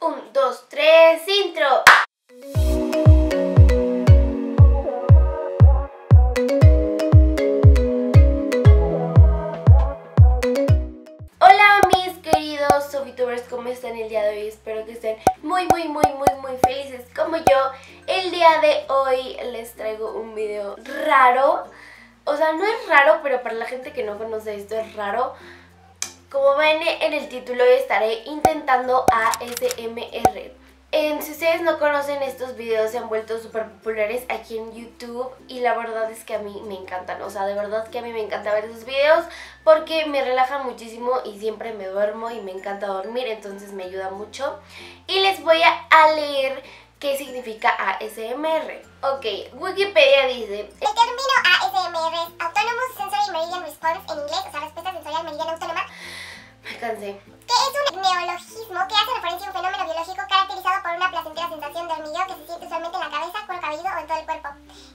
Un, dos, tres, intro. Hola mis queridos youtubers, ¿cómo están el día de hoy? Espero que estén muy, muy, muy, muy, muy felices como yo. El día de hoy les traigo un video raro. O sea, no es raro, pero para la gente que no conoce esto es raro como ven en el título estaré intentando ASMR. En, si ustedes no conocen estos videos se han vuelto súper populares aquí en YouTube y la verdad es que a mí me encantan, o sea de verdad que a mí me encanta ver esos videos porque me relaja muchísimo y siempre me duermo y me encanta dormir entonces me ayuda mucho y les voy a leer qué significa ASMR. Ok, Wikipedia dice le termino ASMR Autonomous Sensory Meridian Response en inglés, o sea, respuesta sensorial meridiana autónoma. Me cansé. Que es un neologismo que hace referencia a un fenómeno biológico caracterizado por una placentera sensación de hormigueo que se siente solamente en la cabeza, el cabello o en todo el cuerpo.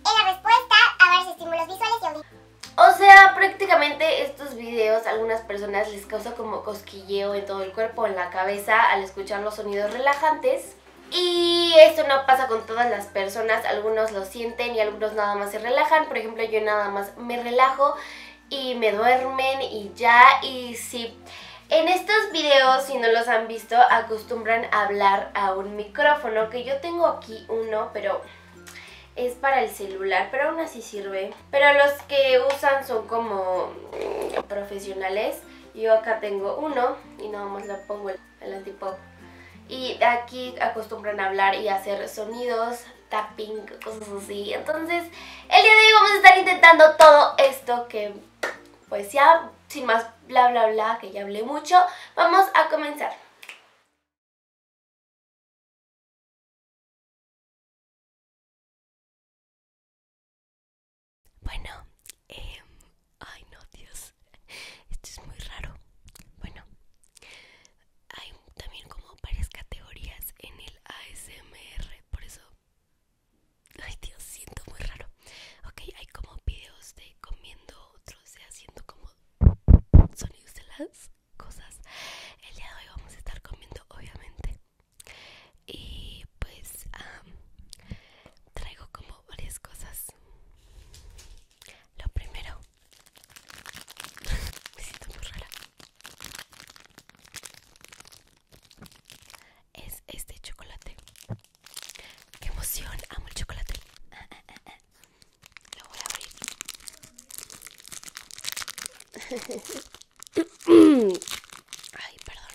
En la respuesta a varios estímulos visuales y auditivos. O sea, prácticamente estos videos a algunas personas les causa como cosquilleo en todo el cuerpo, en la cabeza, al escuchar los sonidos relajantes y esto no pasa con todas las personas, algunos lo sienten y algunos nada más se relajan. Por ejemplo, yo nada más me relajo y me duermen y ya, y sí. En estos videos, si no los han visto, acostumbran a hablar a un micrófono, que yo tengo aquí uno, pero es para el celular, pero aún así sirve. Pero los que usan son como profesionales. Yo acá tengo uno y nada más lo pongo el el Y aquí acostumbran a hablar y hacer sonidos, tapping, cosas así. Entonces, el día de hoy vamos a estar intentando todo esto que, pues ya, sin más bla bla bla, que ya hablé mucho, vamos a comenzar. Bueno, Em, ay, no, Dios. Esto es muy raro. Bueno, hay también como varias categorías en el ASMR. Por eso, ay, Dios, siento muy raro. Ok, hay como videos de comiendo, otros de haciendo como sonidos de las cosas. El día de hoy vamos a estar comiendo, obviamente. Y pues traigo como varias cosas lo primero, me siento muy rara, es este chocolate. ¡Qué emoción! Amo el chocolate. Ah, ah, ah, Lo voy a abrir. Ay, perdón.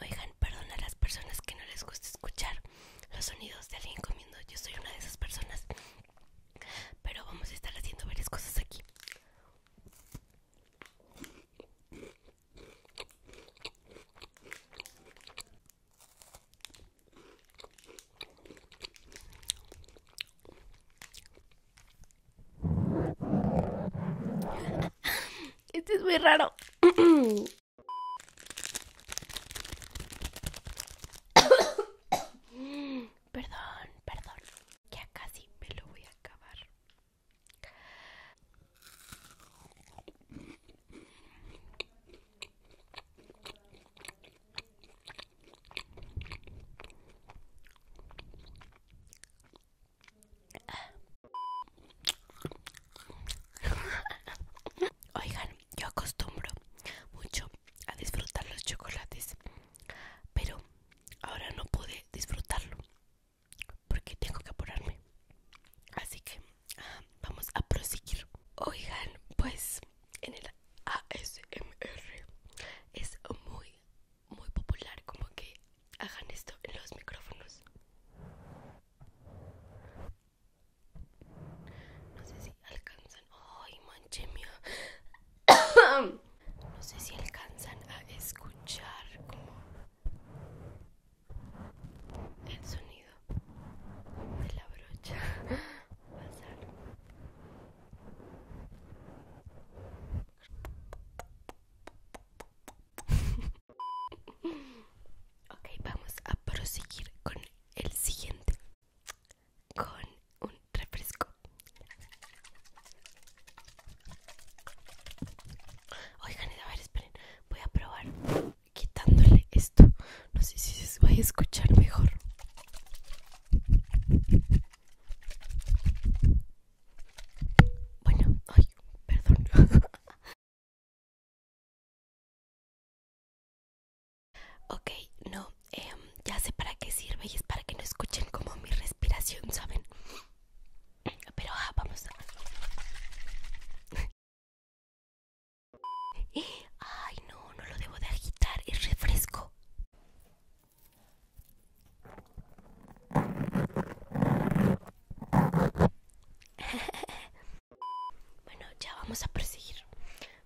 Oigan, perdón a las personas que no les gusta escuchar los sonidos de alguien comiendo. Yo soy una de esas personas. Pero vamos a estar haciendo varias cosas aquí. Este es muy raro. perdón, perdón. Ya casi me lo voy a acabar. Ah. Oigan, yo acostumbro mucho a disfrutar los chocolates, pero ahora no pude disfrutarlo porque tengo que apurarme. Así que vamos a proseguir. Oigan, pues en el ASMR es muy, muy popular como que hagan esto en los micrófonos. No sé si alcanzan. ¡Ay, manche mía! No sé si alcanzan a escuchar como el sonido de la brocha pasar ok vamos a proseguir con el siguiente con un refresco oigan a ver esperen voy a probar quitándole esto. No sé si se va a escuchar mejor. Bueno, ay, perdón. ok, no, em, ya sé para qué sirve y es para que no escuchen como mi respiración, ¿saben? Pero ah, vamos a... Ay, no, no lo debo de agitar, es refresco. bueno, ya vamos a proseguir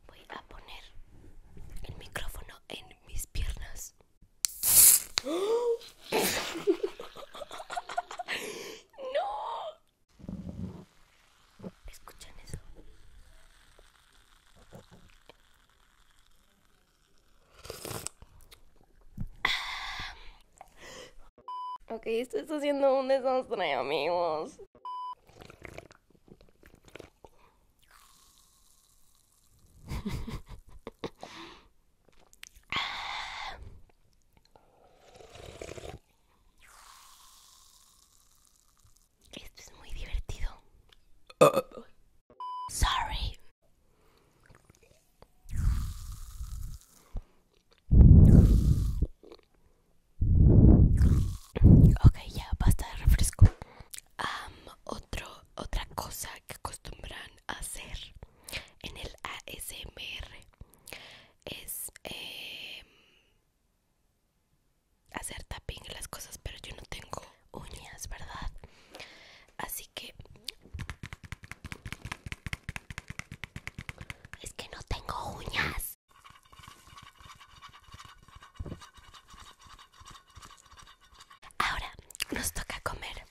Voy a poner el micrófono en mis piernas. ¡No! ¿Escuchan eso? Ah. Ok, esto está haciendo un desastre, amigos. Esto es muy divertido. Uh, uh. Sorry. Ok, ya basta de refresco. otro, otra cosa que acostumbran a hacer en el ASMR es em, hacer tapping las cosas, pero yo no tengo uñas, ¿verdad? Así que es que no tengo uñas. Ahora nos toca comer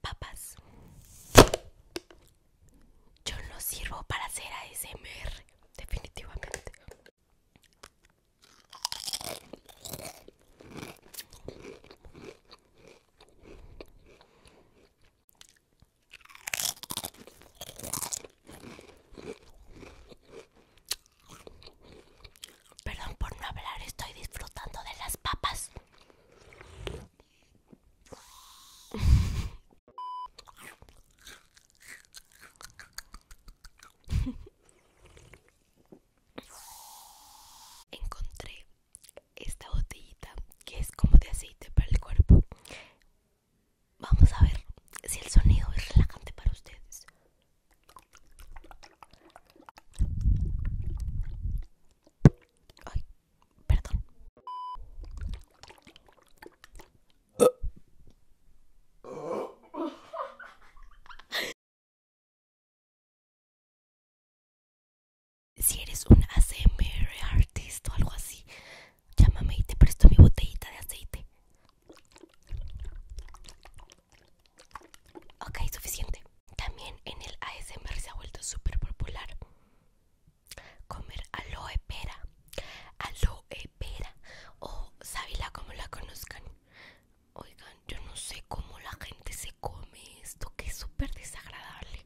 papas yo no sirvo para hacer ASMR, definitivamente. Perdón por no hablar, estoy disfrutando de las papas. Encontré esta botellita que es como de aceite para el cuerpo. Vamos a ver si el sonido es relajante para ustedes. Ay, perdón. Si eres un ASMR artist o algo así, llámame y te presto mi botellita de aceite. Ok, suficiente. También en el ASMR se ha vuelto súper popular comer aloe pera aloe pera o sábila como la conozcan oigan yo no sé cómo la gente se come esto que es súper desagradable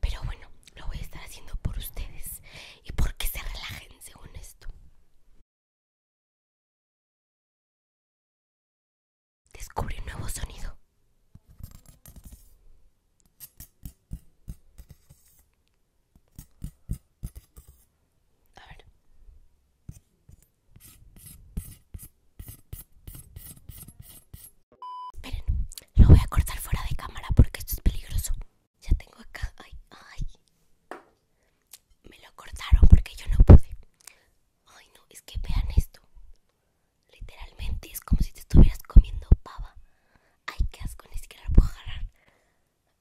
pero bueno lo voy a estar haciendo por ustedes y porque se relajen según esto descubre un nuevo sonido a ver. Esperen, lo voy a cortar fuera de cámara porque esto es peligroso. Ya tengo acá. Ay, ay. Me lo cortaron porque yo no pude. Ay, no, es que vean esto. Literalmente es como si te estuvieras comiendo pava. Ay, qué asco, ni siquiera puedo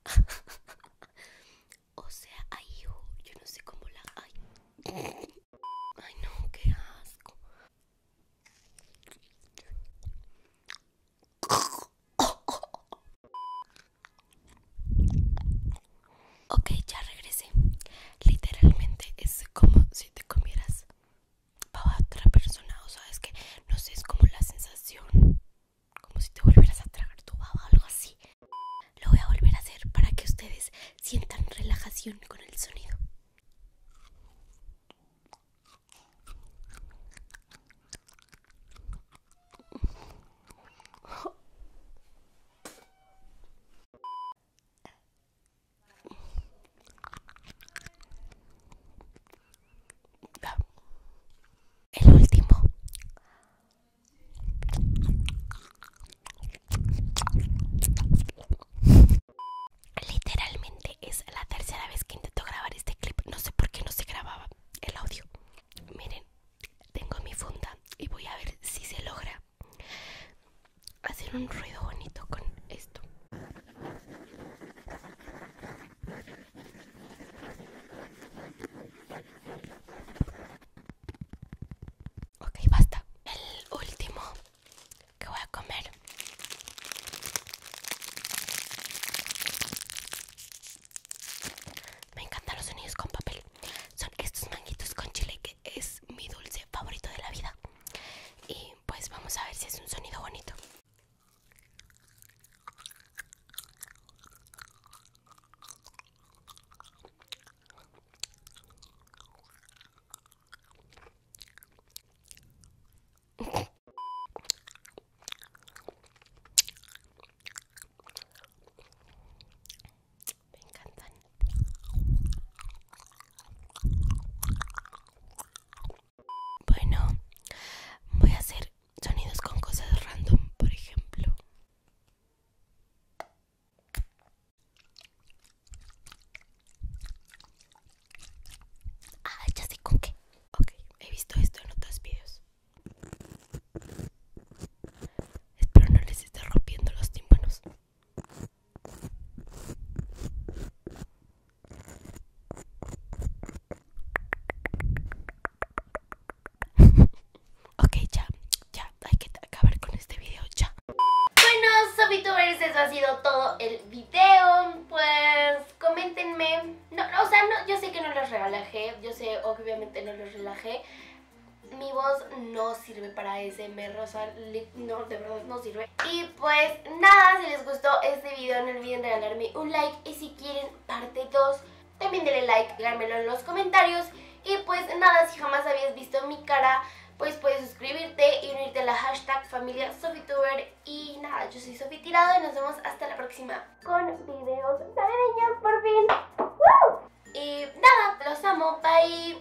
o sea, ay, yo, no sé cómo la. Ay. ay, no, qué asco. Ok, ya regresé. Literalmente es como si te comieras para otra persona, o que no sé, es como la sensación, como si te volvieras a tragar tu baba algo así. Lo voy a volver a hacer para que ustedes sientan relajación con el sonido. El último. Literalmente es la tercera vez que intento grabar este clip. No sé por qué no se grababa el audio. Miren, tengo mi funda y voy a ver si se logra hacer un ruido bonito con esto. Ok, basta. El último que voy a comer me encantan los sonidos con papel. Son estos manguitos con chile que es mi dulce favorito de la vida. Y pues vamos a ver si es un sonido bonito. Me encantan. Bueno, voy a hacer sonidos con cosas random, por ejemplo. Ah, ya sé con qué. Ok, he visto esto en otros videos. Espero no les esté rompiendo los tímpanos. ok, ya, ya, hay que acabar con este video, ya. Bueno, VTubers, eso ha sido todo el video. Pues coméntenme. No, o sea, no, yo sé que no los relajé, yo sé, obviamente no los relajé. Mi voz no sirve para ese, me rosa no, de verdad no sirve. Y pues nada, si les gustó este video no olviden regalarme un like y si quieren parte 2 también denle like, díganmelo en los comentarios. Y pues nada, si jamás habías visto mi cara, pues puedes suscribirte y unirte a la hashtag familia Sofituber. Y nada, yo soy Sofi Tirado y nos vemos hasta la próxima con videos ya, por fin. Y nada, los amo, bye.